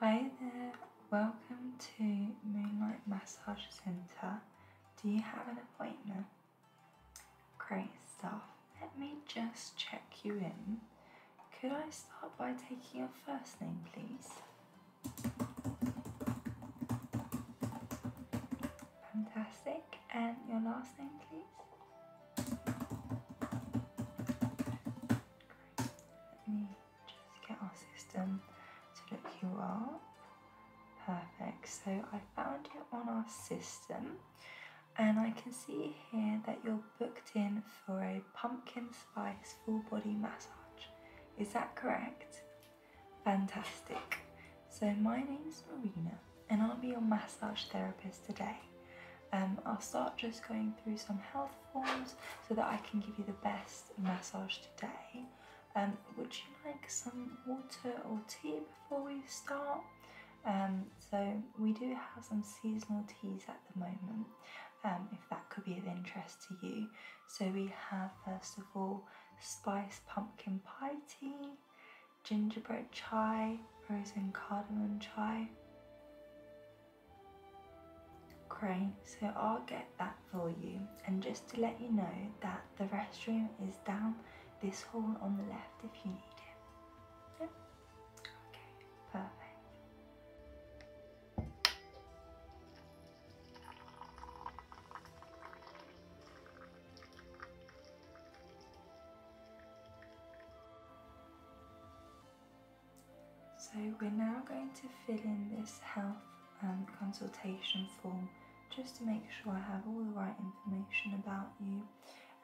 Hi there, welcome to Moonlight Massage Centre. Do you have an appointment? Great stuff. Let me just check you in. Could I start by taking your first name, please? Fantastic. And your last name, please? Just get our system to look you up. Perfect. So I found you on our system and I can see here that you're booked in for a pumpkin spice full body massage. Is that correct? Fantastic. So my name's Marina and I'll be your massage therapist today. Um, I'll start just going through some health so that I can give you the best massage today. Um, would you like some water or tea before we start? Um, so we do have some seasonal teas at the moment, um, if that could be of interest to you. So we have first of all spice pumpkin pie tea, gingerbread chai, rose and cardamom chai, Great, so I'll get that for you. And just to let you know that the restroom is down this hall on the left if you need it. Okay, perfect. So we're now going to fill in this health and um, consultation form just to make sure I have all the right information about you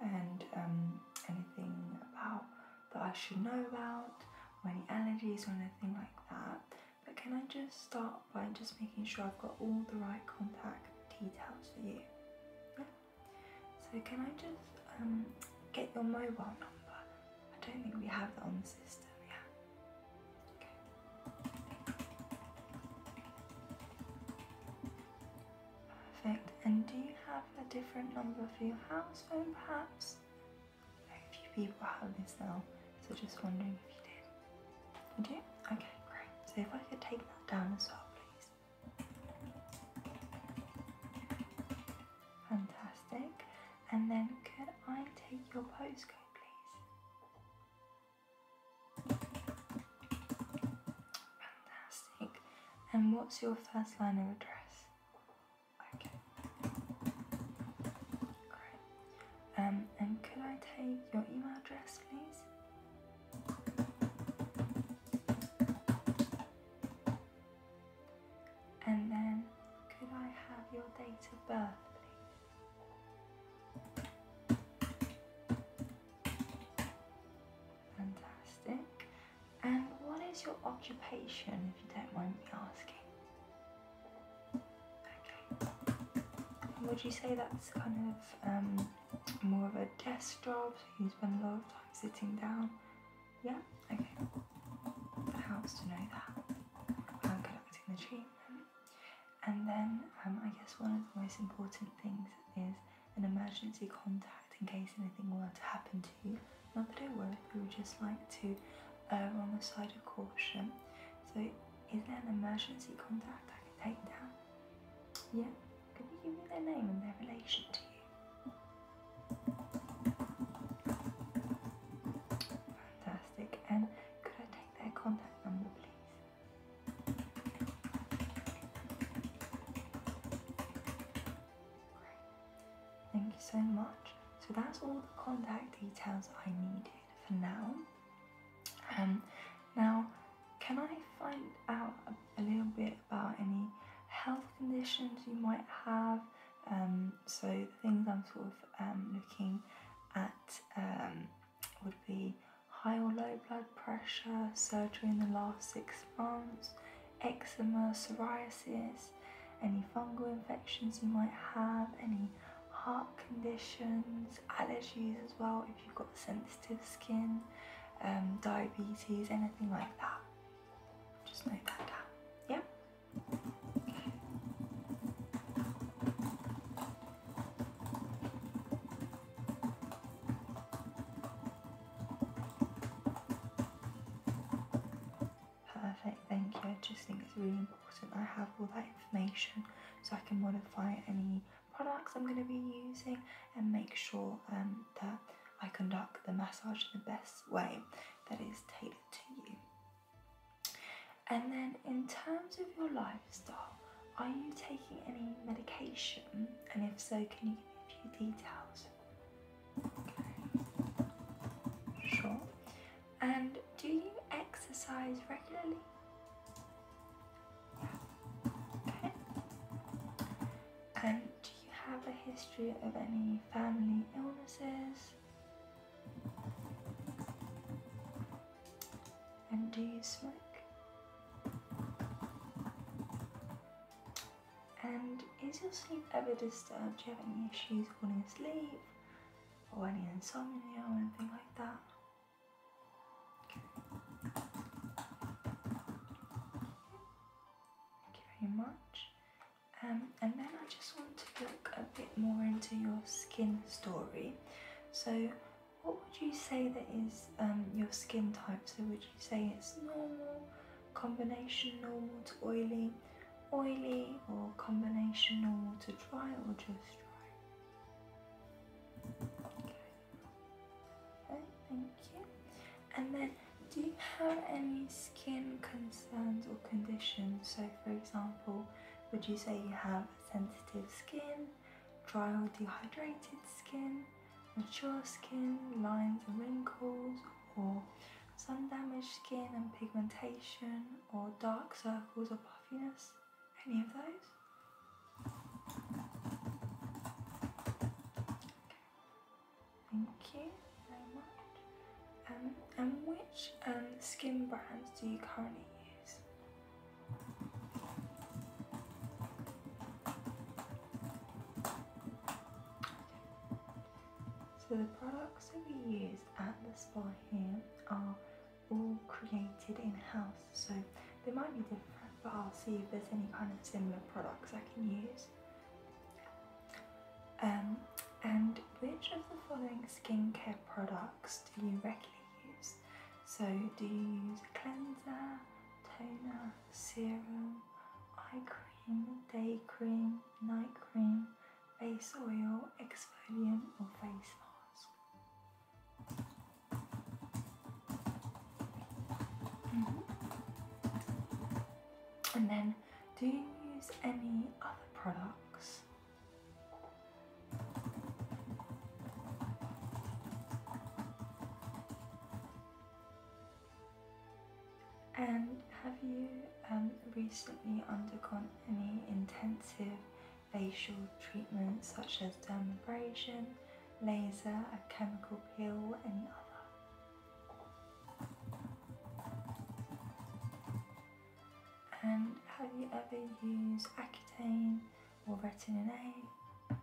and um, anything about that I should know about any allergies or anything like that. But can I just start by just making sure I've got all the right contact details for you? So can I just um, get your mobile number I don't think we have that on the system, yeah. Okay. Perfect. And do you have a different number for your house phone perhaps? Very few people have this now, so just wondering if you did. You do? Okay, great. So if I could take that down as well, please. Fantastic. And then could I take your postcode, please? Fantastic. And what's your first line of address? Okay. Great. Um, and could I take your email address, please? And then, could I have your date of birth, please? Fantastic. And what is your occupation, if you don't mind me asking? Okay. would you say that's kind of um, more of a desk job, so you spend a lot of time sitting down? Yeah? Okay. That helps to know that. I'm good the treatment. And then um, I guess one of the most important things is an emergency contact in case anything were to happen to you. Not that it would, but we would just like to err on the side of caution. So is there an emergency contact I can take down? Yeah? Could you give me their name and their relation to you? Fantastic. And could I take their contact number, please? Great. Thank you so much. So that's all the contact details I needed for now. Um, now, can I find out a, little bit about any health conditions you might have? Um, so things I'm sort of um, looking at um, would be high or low blood pressure, surgery in the last six months, eczema, psoriasis, any fungal infections you might have, any heart conditions, allergies as well if you've got sensitive skin, um, diabetes, anything like that. Just note that down. Yep. Perfect, thank you. I just think it's really important I have all that information so I can modify any products I'm going to be using and make sure um, that I conduct the massage in the best way that is tailored to you. And then, in terms of your lifestyle, are you taking any medication? And if so, can you give me a few details? Okay. Sure. And do you exercise regularly? Okay. And do you have a history of any family illnesses? And do you smoke? And is your sleep ever disturbed? Do you have any issues falling asleep or any insomnia or anything like that? Thank you very much. Um, and then I just want to look a bit more into your skin story. So, what would you say that is um, your skin type? So, would you say it's normal, combination normal to oily, oily, or combination normal to dry, or just dry? Okay. okay thank you. And then, do you have any skin concerns or conditions. So, for example, would you say you have sensitive skin, dry or dehydrated skin, mature skin, lines and wrinkles, or sun damaged skin and pigmentation, or dark circles or puffiness? Any of those? Thank you very much. Um, and which um, skin brands do you currently use? So the products that we use at the spa here are all created in-house so they might be different but I'll see if there's any kind of similar products I can use um, and which of the following skincare products do you regularly use? So, do you use a cleanser, toner, serum, eye cream, day cream, night cream, face oil, exfoliant, or face mask? Mm-hmm. And then do you use any other products? And have you um, recently undergone any intensive facial treatments such as dermabrasion, laser, a chemical peel, any other? And have you ever used Accutane or Retin A?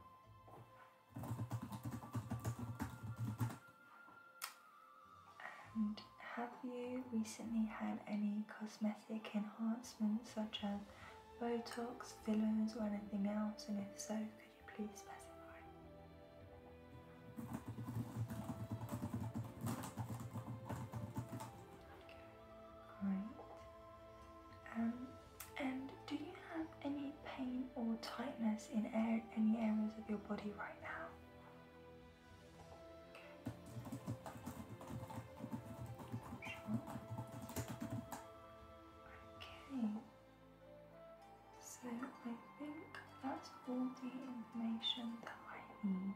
And have you recently had any cosmetic enhancements such as Botox, fillers or anything else? And if so, could you please specify? Great. Um, and do you have any pain or tightness in any areas of your body right now? Okay. So I think that's all the information that I need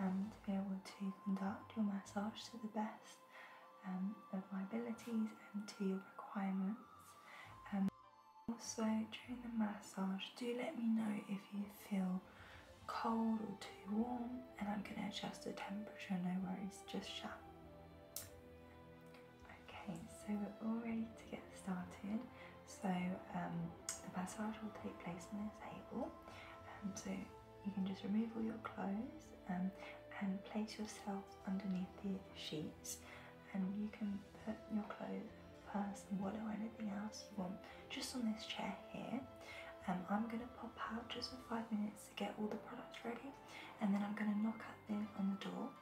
um, to be able to conduct your massage to the best um, of my abilities and to your requirements. Um, also, during the massage, do let me know if you feel cold or too warm, and I'm going to adjust the temperature, no worries, just shout. Okay, so we're all ready to get started. So um, the massage will take place on this table. Um, so you can just remove all your clothes um, and place yourself underneath the sheets and you can put your clothes, purse and wallet anything else you want just on this chair here. I'm going to pop out just for five minutes to get all the products ready and then I'm going to knock at the, on the door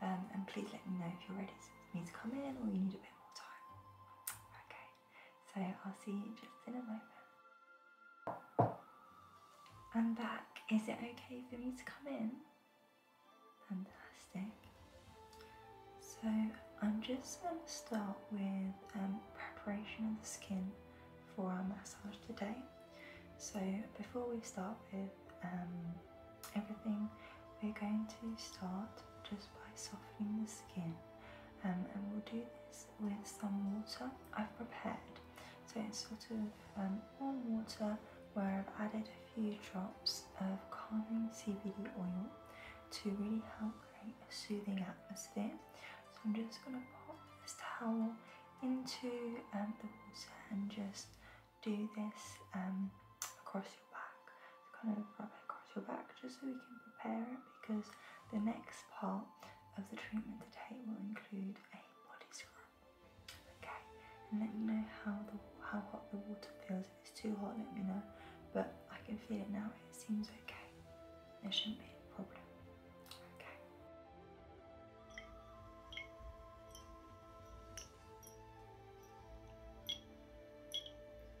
and please let me know if you're ready for me to come in or you need a bit more time. Okay, so I'll see you just in a moment. I'm back. Is it okay for me to come in? Fantastic. So I'm just going to start with um, preparation of the skin for our massage today. So before we start with um, everything, we're going to start just by softening the skin um, and we'll do this with some water I've prepared so it's sort of um, warm water where I've added a few drops of calming CBD oil to really help create a soothing atmosphere so I'm just going to pop this towel into um, the water and just do this across across your back. kind of rub it across your back just so we can prepare it because the next part of the treatment today will include a body scrub. Okay, and let me know how the how hot the water feels. If it's too hot, let me know. But I can feel it now. It seems okay. There shouldn't be a problem. Okay.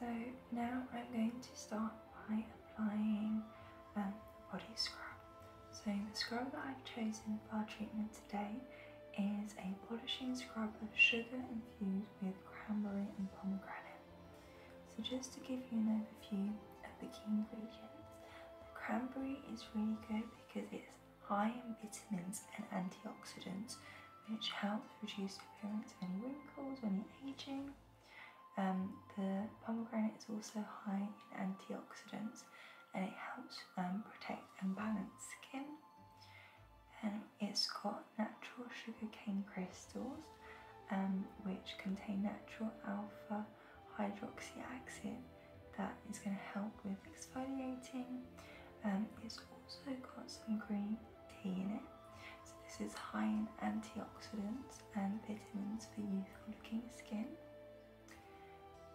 So now I'm going to start by applying um, body scrub. So the scrub that I've chosen for our treatment today is a polishing scrub of sugar infused with cranberry and pomegranate. So just to give you an overview of the key ingredients, cranberry is really good because it's high in vitamins and antioxidants which helps reduce appearance of any wrinkles when you aging. Um, the pomegranate is also high in antioxidants and it helps um, protect and balance skin. And it's got natural sugarcane crystals um, which contain natural alpha hydroxy acid, that is going to help with exfoliating. Um, it's also got some green tea in it. So this is high in antioxidants and vitamins for youthful looking skin.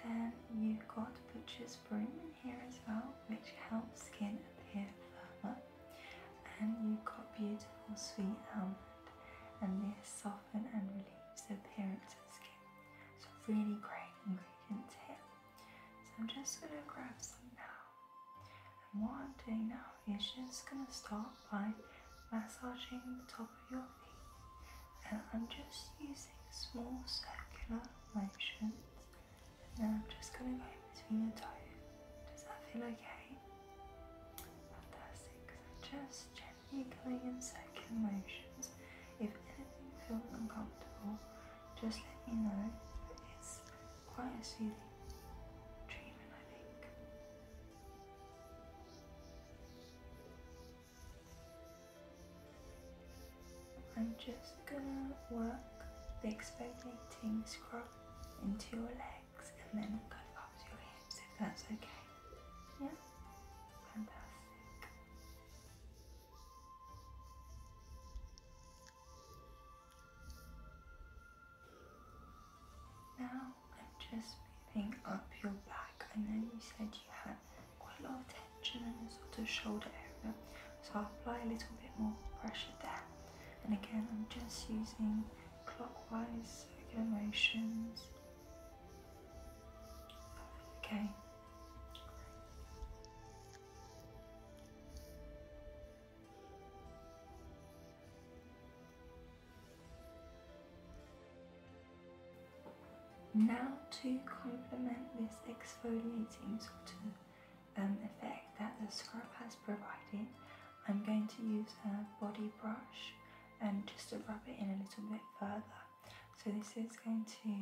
Then you've got butcher's broom in here as well, which helps skin appear firmer. And you've got beautiful sweet almond and this softens and relieves the appearance of skin. So really great ingredients here. So I'm just going to grab some now. And what I'm doing now is just going to start by massaging the top of your feet. And I'm just using small circular motions now I'm just going to go between your toes. Does that feel okay? Fantastic. I'm just gently going in circular motions. If anything feels uncomfortable, just let me know. It's quite a soothing treatment, I think. I'm just gonna work the exfoliating scrub into your legs and then kind up to your hips if that's okay. Yeah? Fantastic. Now I'm just moving up your back. and then you said you had quite a lot of tension in the sort of shoulder area, so I'll apply a little bit more pressure there and again I'm just using clockwise circular motions okay now to complement this exfoliating sort of um, effect that the scrub has provided, I'm going to use a body brush and just to rub it in a little bit further. So this is going to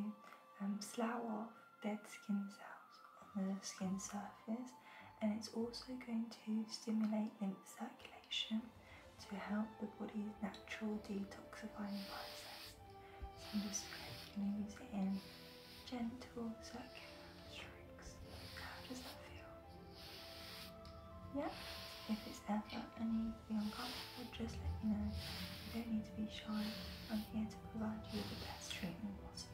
um, slough off dead skin cells on the skin surface and it's also going to stimulate lymph circulation to help the body's natural detoxifying process. So I'm just going to use it in gentle circular strokes. How does that feel? Yeah? If it's ever anything uncomfortable, just let me know. You don't need to be shy. I'm here to provide you with the best treatment possible.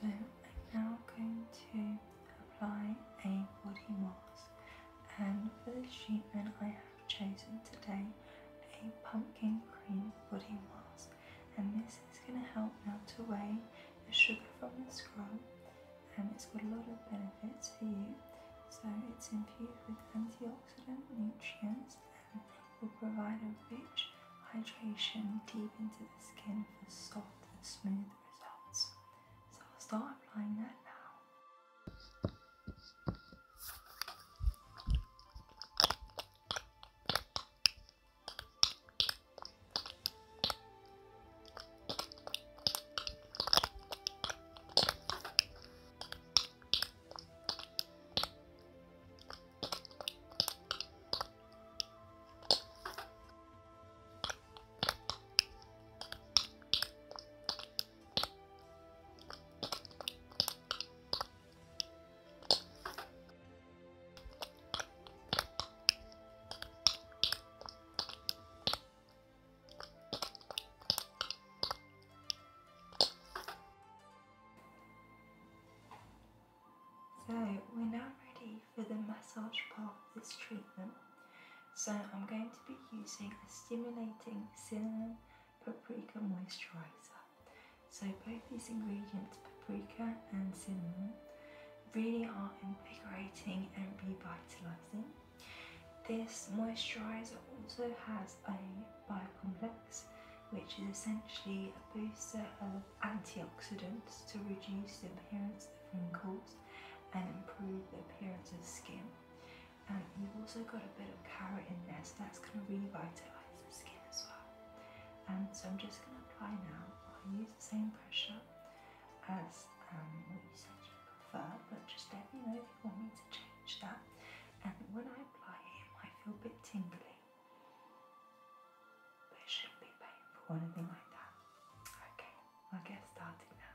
So I'm now going to apply a body mask and for the treatment I have chosen today a pumpkin cream body mask and this is going to help melt away the sugar from the scrub and it's got a lot of benefits for you so it's infused with antioxidant nutrients and will provide a rich hydration deep into the skin for soft and smooth results. So I'll start applying that now. So we're now ready for the massage part of this treatment. So I'm going to be using a stimulating cinnamon paprika moisturizer. So both these ingredients, paprika and cinnamon, really are invigorating and revitalizing. This moisturizer also has a biocomplex, which is essentially a booster of antioxidants to reduce the appearance of wrinkles and improve the appearance of the skin. And you've also got a bit of carrot in there, so that's going to revitalise the skin as well. And um, so I'm just going to apply now. I'll use the same pressure as um, what you said you prefer, but just let me know if you want me to change that. And when I apply it, I feel a bit tingling, but it shouldn't be painful or anything like that. Okay, I'll get started now.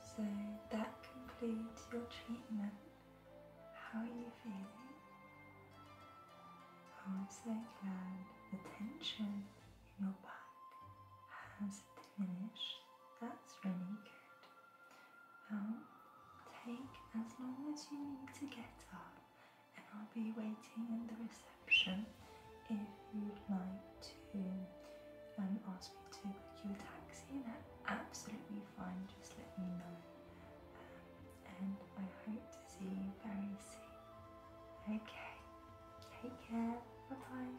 So that concludes your treatment. How are you feeling? Oh, I'm so glad the tension in your back has diminished. That's really good. Now, take as long as you need to get up, and I'll be waiting in the reception if you'd like to um, ask me to book you a taxi that's absolutely fine just let me know um, and I hope to see you very soon okay take care bye bye